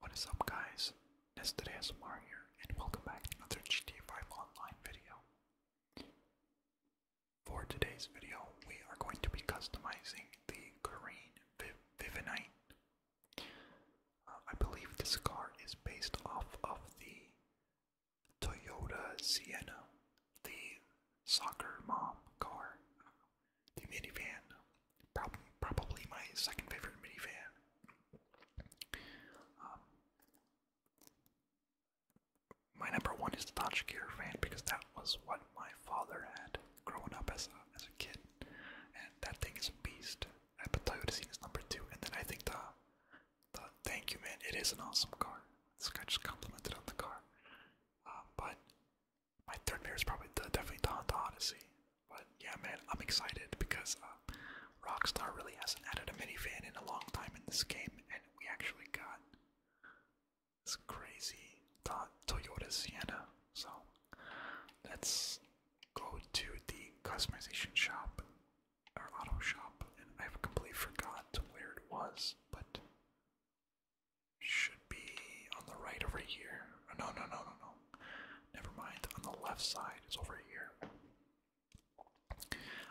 What is up guys, It's ASMR here, and welcome back to another gt 5 Online video. For today's video, we are going to be customizing the Green Viv Vivinite. Uh, I believe this car is based off of the Toyota Sienna, the soccer mom car the minivan. Prob probably my second favorite minivan. Um, my number one is the Dodge Caravan because that was what my father had growing up as a, as a kid, and that thing is a beast. I put Toyota Scene as number two, and then I think the, the thank you man, it is an awesome car. This guy just complimented on the car, uh, but my third favorite is probably the, definitely the Honda Odyssey. But yeah, man, I'm excited because uh, Rockstar really hasn't added a minivan in a long time in this game, and we actually got this crazy Toyota Sienna. So let's go to the customization shop or auto shop, and I've completely forgot where it was, but should be on the right over here. No, no, no, no, no. Never mind. On the left side, it's over here.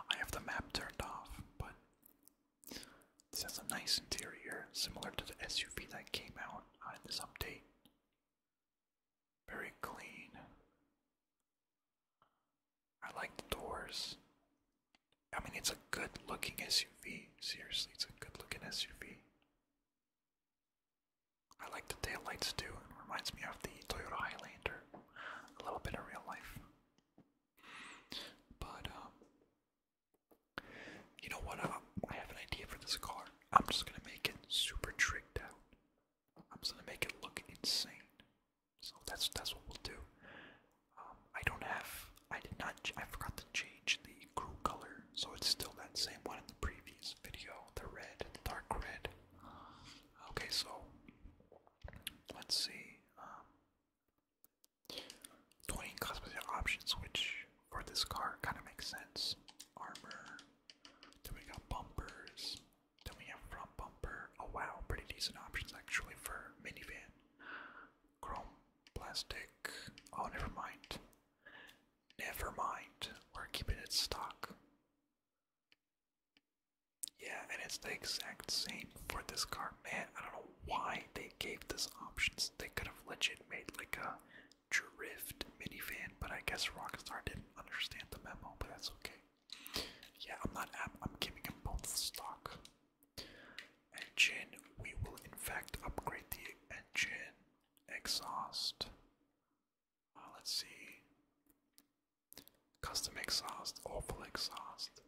I have the map turned off, but this has a nice interior, similar to the SUV that came out uh, in this update. Very clean. I like the doors. I mean, it's a good looking SUV. Seriously, it's a good looking SUV. I like the tail lights too, it reminds me of the Toyota Highlander, a little bit of real life. But, um, you know what? Um, I have an idea for this car. I'm just gonna make it super tricked out. I'm gonna make it look insane. So that's that's what we'll do. Um, I don't have. I did not. I forgot to change the crew color. So it's still that same one in the previous video, the red, dark red. Okay, so let's see. Um, cosmetic options, which for this car kind of makes sense. Armor, then we got bumpers, then we have front bumper. Oh wow, pretty decent options actually for minivan. Chrome, plastic. Oh, never mind. Never mind, we're keeping it stock. Yeah, and it's the exact same for this car. Man, I don't know why they gave this options. They could have legit made like a drift minivan, but I guess Rockstar didn't understand the memo, but that's okay. Yeah, I'm not I'm giving them both stock engine, we will in fact upgrade the engine exhaust. Uh, let's see. Custom exhaust, awful exhaust,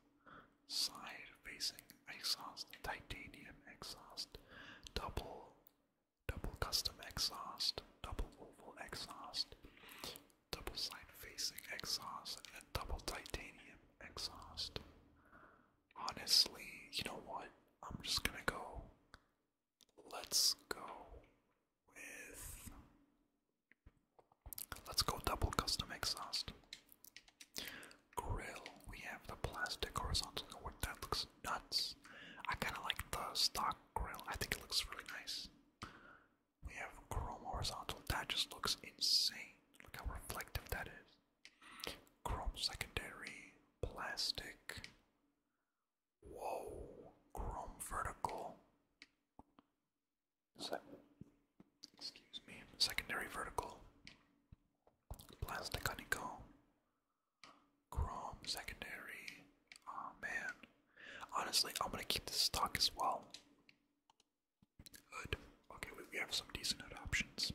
side facing exhaust, titanium exhaust, double, double custom exhaust, double oval exhaust, double side facing exhaust, and double titanium exhaust honestly, you know what? I'm just gonna go. Let's go with. Let's go double custom exhaust. Grill. We have the plastic horizontal. What that looks nuts. I kind of like the stock grill. I think it looks really nice. We have chrome horizontal. That just looks insane. Look how reflective that is. Chrome secondary, plastic. Whoa, chrome vertical. excuse me, secondary vertical. Plastic honeycomb. Chrome secondary. Oh man. Honestly, I'm gonna keep this stock as well. Hood. Okay, we have some decent hood options.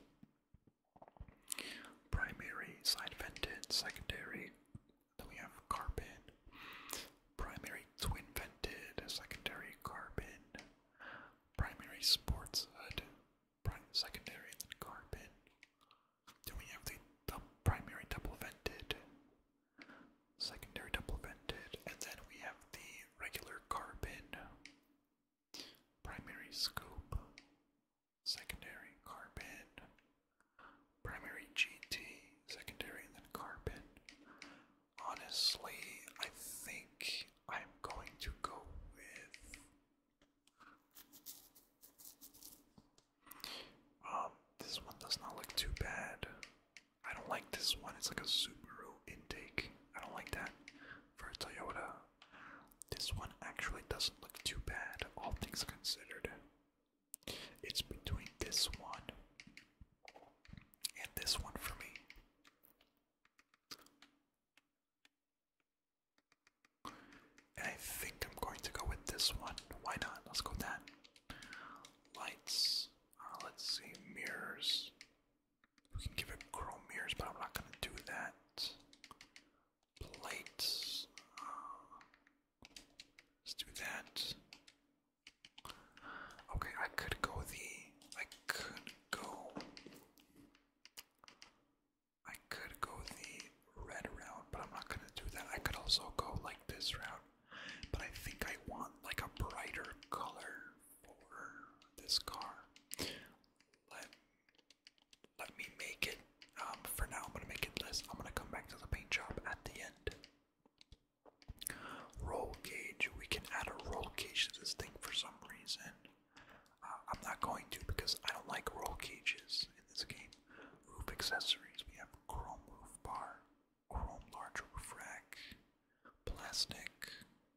Primary side vented, secondary. Then we have carbon. Primary twin vented, secondary carbon. Primary sports hood, secondary, and then carbon. Then we have the primary double vented, secondary double vented, and then we have the regular carbon primary scope, secondary carbon, primary GT, secondary, then carbon. Honestly, I think I'm going to go with. Um, this one does not look too bad. I don't like this one. It's like a Subaru intake. I don't like that for Toyota. This one actually doesn't look too bad, all things considered. It's between this one and this one for me. And I think I'm going to go with this one. Why not? Let's go that. Lights. Uh, let's see. Mirrors. We can give it chrome mirrors, but I'm not going to do that. Plates. Let's do that. Okay, I could go the. I could go. I could go the red route, but I'm not gonna do that. I could also go like this route, but I think I want like a brighter color for this car. Let let me make it. Um, for now, I'm gonna make it less. I'm gonna come back to the paint job at the end. Roll gauge. We can add a roll gauge to this thing for some reason. Uh, I'm not going to because I don't like roll gauges in this game. Roof accessories. We have chrome roof bar, chrome large roof rack plastic,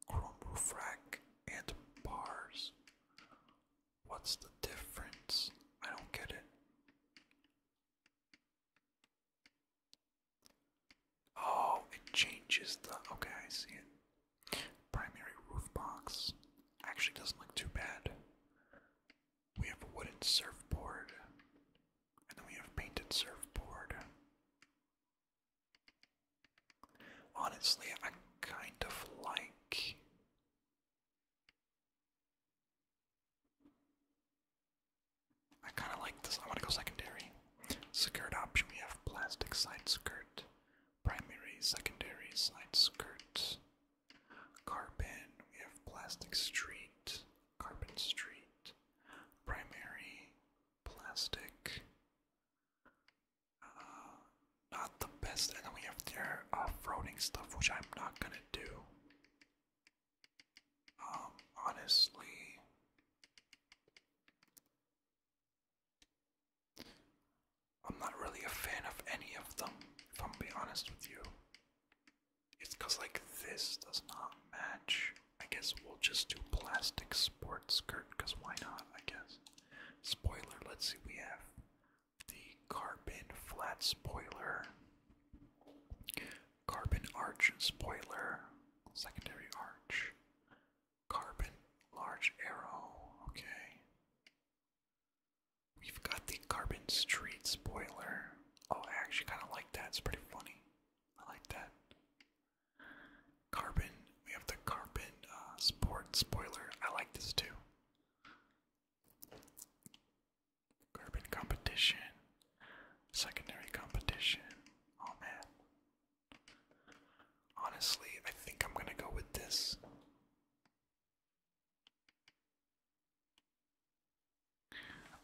chrome roof rack, and bars. What's the difference? I don't get it. Oh, it changes the. Okay, I see it. Primary roof box. Actually, doesn't look too bad. We have a wooden surfboard, and then we have painted surfboard. Honestly, I kind of like. I kind of like this. I want to go secondary. Skirt option. We have plastic side skirt, primary, secondary side skirt, carbon. We have plastic street, carbon street, primary, plastic. Uh, not the best. And then we have their off-roading uh, stuff, which I'm not gonna do. Um, honestly. I'm not really a fan of any of them, if I'm being honest with you. It's like, this does not match. I guess we'll just do plastic sports skirt, because why not, I guess. Spoiler, let's see, we have the carbon flat spoiler, carbon arch spoiler, secondary arch, carbon large arrow, okay. We've got the carbon street spoiler. Oh, I actually kind of like that, it's pretty funny. I like that. Carbon. We have the carbon uh, sport spoiler. I like this too. Carbon competition. Secondary competition. Oh man. Honestly, I think I'm gonna go with this.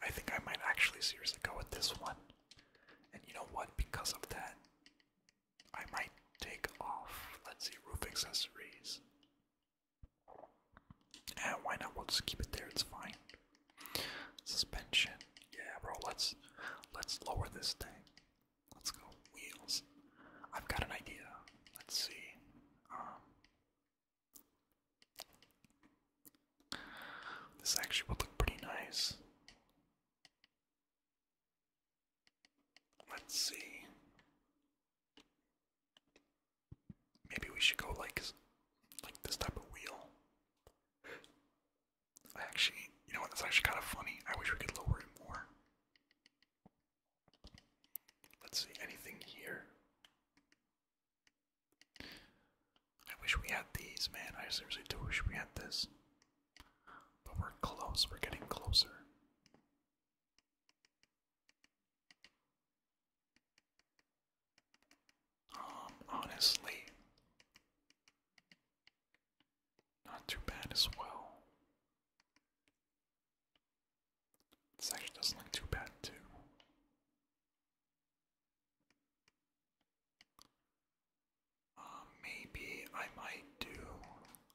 I think I might actually seriously go with this one. And you know what? Because of that, I might take off, let's see, roof accessories. And why not? We'll just keep it there, it's fine. Suspension. Yeah, bro, let's let's lower this thing. Let's go. Wheels. I've got an idea. Let's see. Um, this actually would look pretty nice. Let's see. Maybe we should go like like this type of wheel. I actually, you know what? That's actually kind of funny. I wish we could lower it more. Let's see anything here. I wish we had these, man. I seriously do wish we had this. But we're close, we're getting closer. Um, honestly, not too bad as well. This actually not too bad, too. Uh, maybe I might do.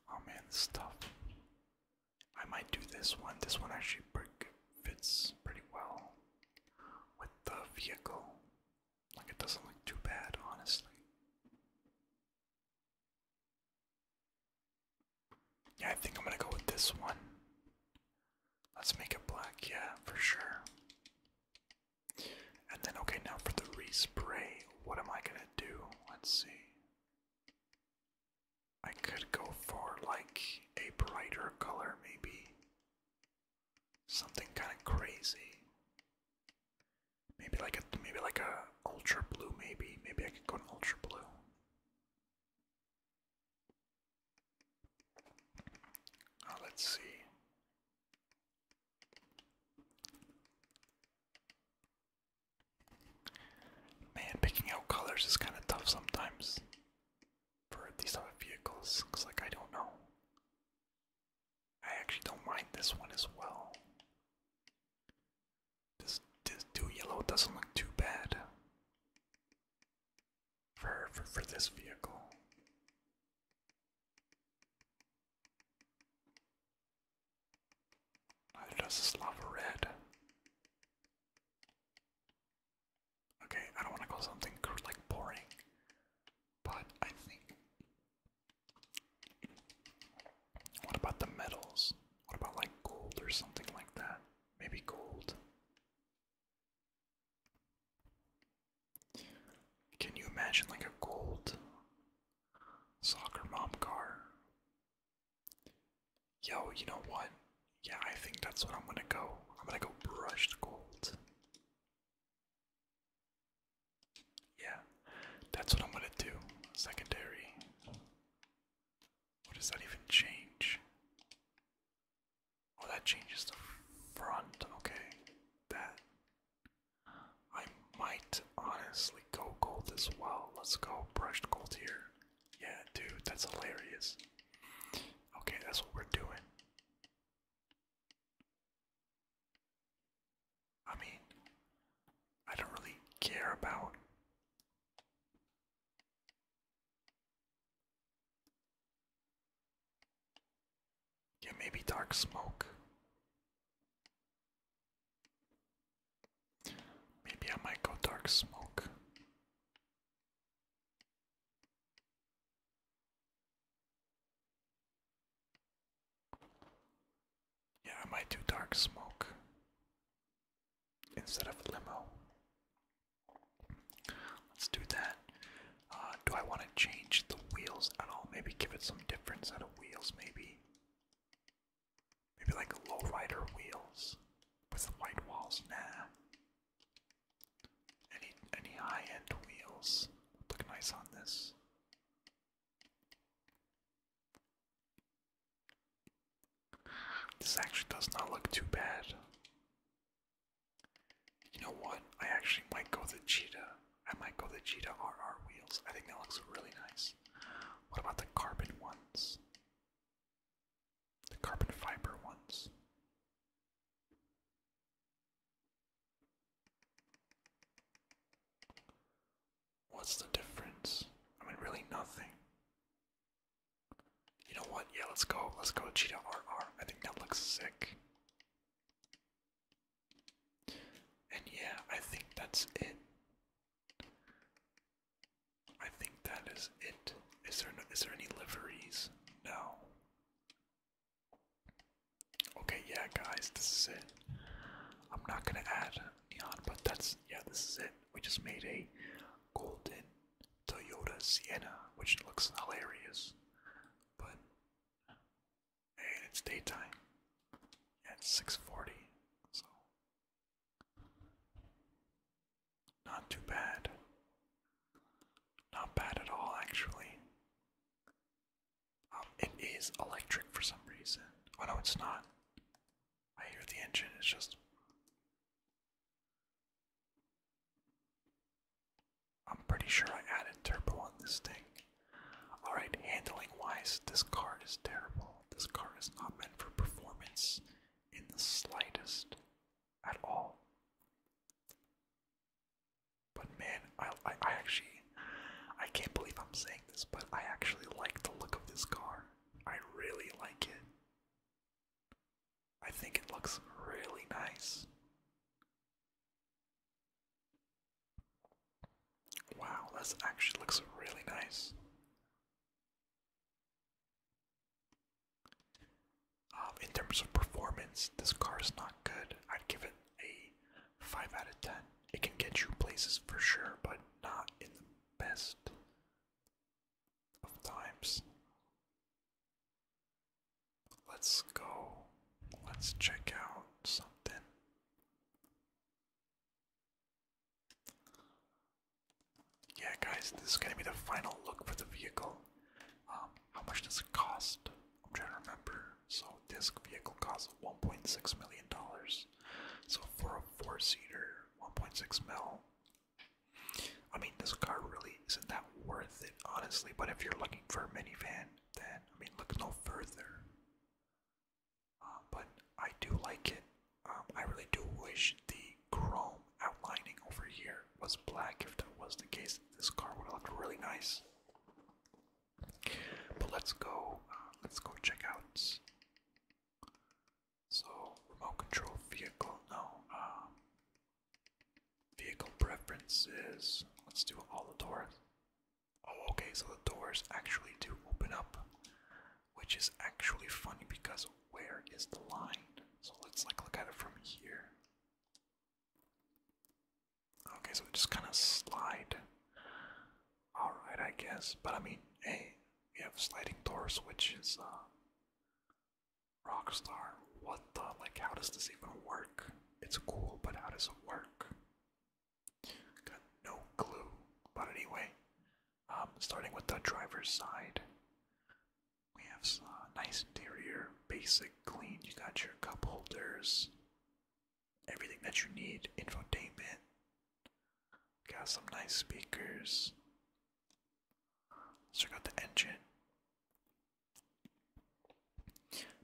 Oh man, this I might do this one. This one actually fits pretty well with the vehicle. Like it doesn't look too bad, honestly. Yeah, I think I'm gonna go with this one. Let's make it black, yeah, for sure. And then, okay, now for the respray, what am I gonna do? Let's see. I could go for like a brighter color, maybe. Something kind of crazy. Maybe like a maybe like a ultra blue, maybe. Maybe I could go an ultra blue let's see. Man, picking out colors is kind of tough sometimes for these type of vehicles. Cause like I don't know. I actually don't mind this one as well. This this do yellow doesn't look too bad for for, this vehicle. Neither does this red. Okay, I don't want to call something like boring, but I think. What about the metals? What about like gold or something like that? Maybe gold. Can you imagine like a gold soccer mom car? Yo, you know what? Yeah, I think that's what I'm gonna go. I'm gonna go brushed gold. Yeah, that's what I'm gonna do. Secondary. What does that even change? Oh, that changes the front. Okay, that. I might honestly go gold as well. Let's go brushed gold here. Yeah, dude, that's hilarious. Okay, that's what we're doing. I mean, I don't really care about yeah, maybe dark smoke. Maybe I might go dark smoke. Yeah, I might do dark smoke instead of limo. Let's do that. Uh, do I want to change the wheels at all? Maybe give it some different set of wheels, maybe. Maybe like lowrider wheels with the white walls. Nah. Any any high-end wheels look nice on this. This actually does not look too bad. You know what? I actually might go the cheetah. I might go the cheetah RR wheels. I think that looks really nice. What about the carbon ones? The carbon fiber ones. What's the difference? I mean, really nothing. You know what? Yeah, let's go. Let's go to Cheetah RR. I think that looks sick. And yeah, I think that's it. I think that is it. Is there there any liveries? No. Okay, yeah, guys, this is it. I'm not gonna add neon, but that's yeah, this is it. We just made a golden Toyota Sienna, which looks hilarious, but and it's daytime it's 6:40, so not too bad. Not bad at all, actually. Um, it is electric for some reason. Oh no, it's not. I hear the engine. It's just I'm pretty sure I added turbo on this thing. Alright, handling wise, this car is terrible. This car is not meant for performance in the slightest at all. But man, I, I actually, I can't believe I'm saying this, but I actually like the look of this car. I really like it. I think it looks really nice. Wow, this actually looks really nice. Um, in terms of performance, this car is not good. I'd give it a 5 out of 10. It can get you places for sure, but not in the best of times. Let's go. Let's check out something. Yeah, guys, this is going to be the final look for the vehicle. Um, how much does it cost? I'm trying to remember. So, this vehicle costs $1.6 million. So, for a four seater, 1.6 mil. I mean, this car really isn't that worth it, honestly. But if you're looking for a minivan, then I mean, look no further. Uh, but I do like it. Um, I really do wish the chrome outlining over here was black. If that was the case, this car would look really nice. But let's go. Uh, let's go check out so remote control vehicle, no. Um, vehicle preferences. Let's do all the doors. Oh, okay. So the doors actually do open up, which is actually funny because where is the line? So let's like look at it from here. Okay, so it just kind of slide Alright, I guess. But I mean, hey, we have sliding doors, which is, uh. star. What the? Like, how does this even work? It's cool, but how does it work? Got no clue. But anyway, um, starting with the driver's side, we have uh, nice interior, basic, clean. You got your cup holders, everything that you need, infotainment, Got some nice speakers. Check out the engine.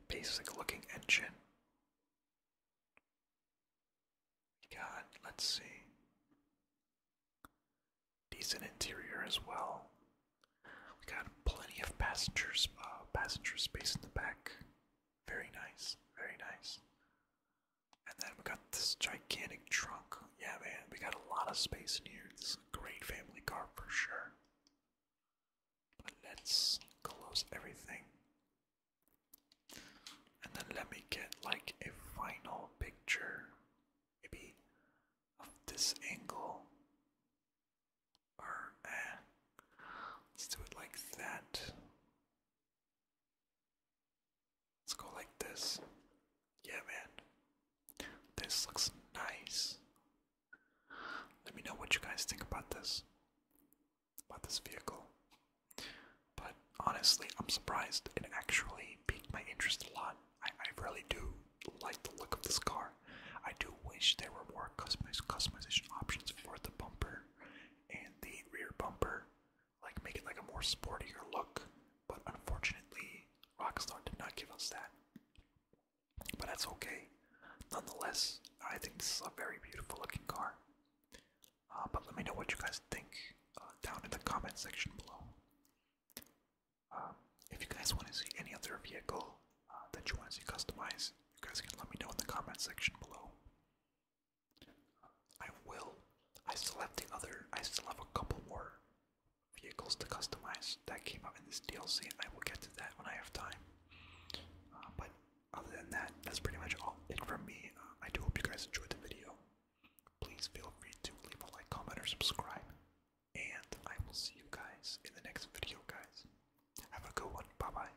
Basic looking engine. God, let's see. Decent interior as well. We got plenty of passengers, uh, passenger space in the back. Very nice, very nice. And then we got this gigantic trunk. Yeah, man, we got a lot of space in here. This is a great family car for sure. let's close everything. And then let me get like a final picture, maybe of this angle. Or, eh, let's do it like that. Let's go like this. Yeah, man. This looks nice. Let me know what you guys think about this. About this vehicle. But honestly, I'm surprised it actually piqued my interest a lot. I, I really do like the look of this car. I do wish there were more customization options for the bumper and the rear bumper like make it like a more sportier look. But unfortunately, Rockstar did not give us that. But that's okay. Nonetheless, I think this is a very beautiful looking car. Uh, but let me know what you guys think uh, down in the comment section below. Uh, if you guys want to see any other vehicle uh, that you want to see customized, you guys can let me know in the comment section below. I will. I still have the other, I still have a couple more vehicles to customize that came out in this DLC, and I will get to that when I have time. Uh, but other than that, that's pretty much all it from me. Uh, I do hope you guys enjoyed the video. Please feel free to leave a like, comment, or subscribe. And I will see you guys in the next video, guys. Have a good one. Bye bye.